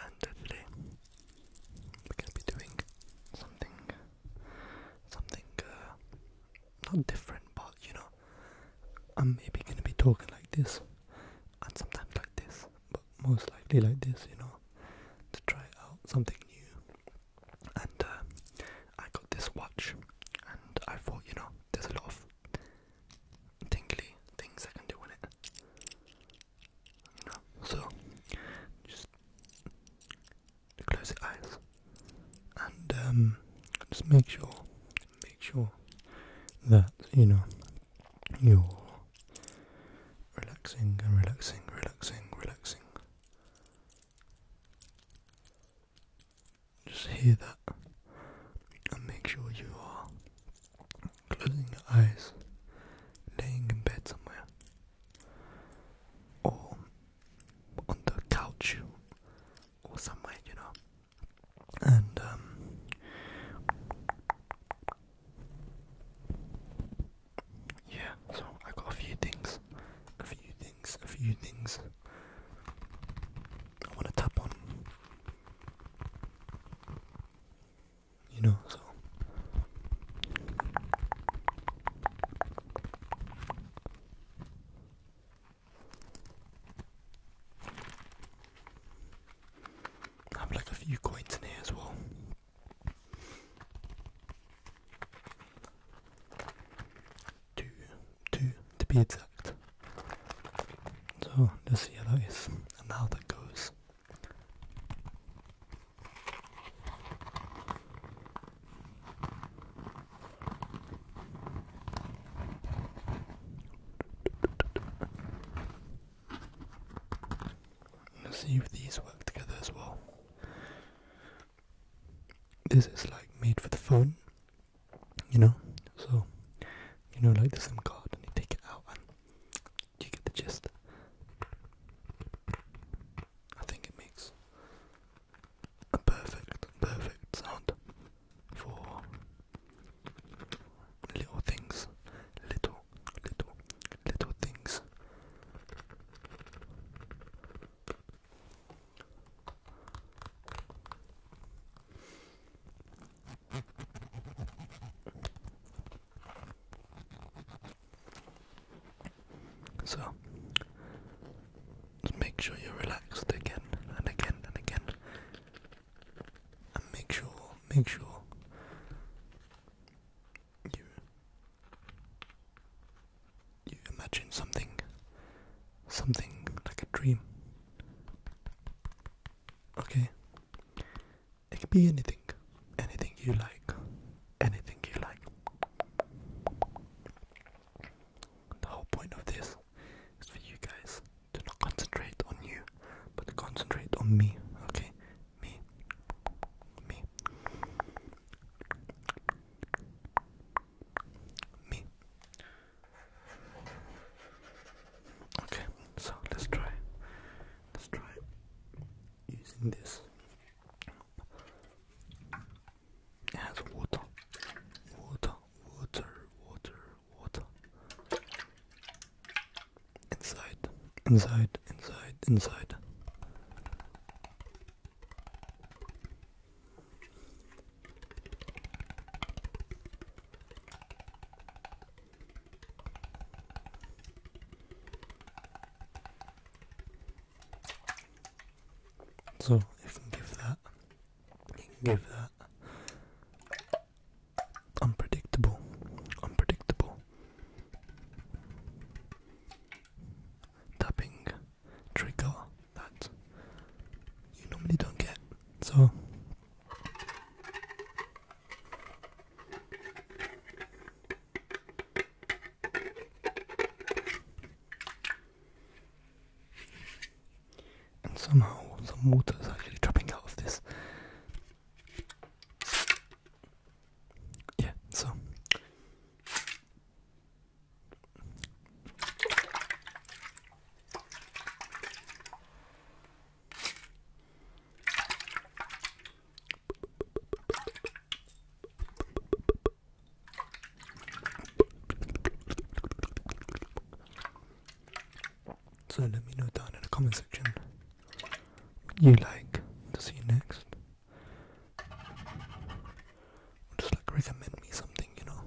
and today we're gonna be doing something, something uh, not different, but you know, I'm maybe gonna be talking like this, and sometimes like this, but most likely like this, you know, to try out something new. And uh, I got this watch, and I thought, you know, there's a lot of tinkly things I can do with it. So, just close your eyes and um, just make sure, make sure that you know you're relaxing and relaxing, relaxing, relaxing. Just hear that and make sure you are closing your eyes, laying in bed somewhere, or on the couch or somewhere, you know. And um, yeah, so I got a few things, a few things, a few things. I want to tap on you know, so I have like a few coins in here as well. Two, two to be exact. So this yellow is another goose. Let's see if these work together as well. This is like made for the phone, you know? So, you know, like the SIM card, and you take it out, and you get the gist. I think it makes a perfect, perfect sound for little things. Little, little, little things. So, just make sure you're relaxed again and again and again, and make sure, make sure you you imagine something something like a dream. Okay? It can be anything. Anything you like. Anything you like. The whole point of this is for you guys to not concentrate on you, but concentrate on me. Okay? Me. Me. Me. Okay, so let's try. Let's try using this it water water water water water inside inside inside inside so you can give that, you can give that unpredictable, unpredictable tapping trigger that you normally don't get. So and somehow some water is actually dropping out of this. Yeah, so so let me know down in the comment section what you like to see next. Just like recommend me something, you know.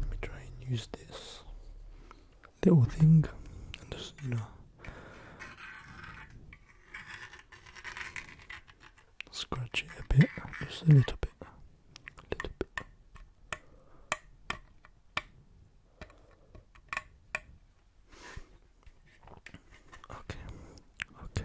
Let me try and use this little thing and just you know scratch it a bit, just a little bit, a little bit. Okay, okay.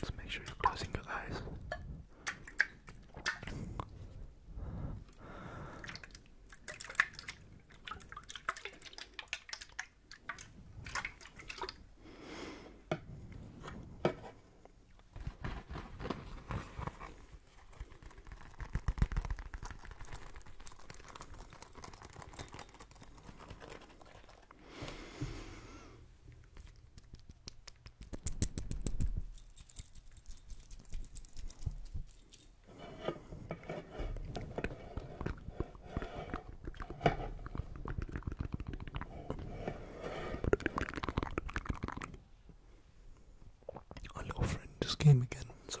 Just make sure you're closing your eyes. I little friend just came again, so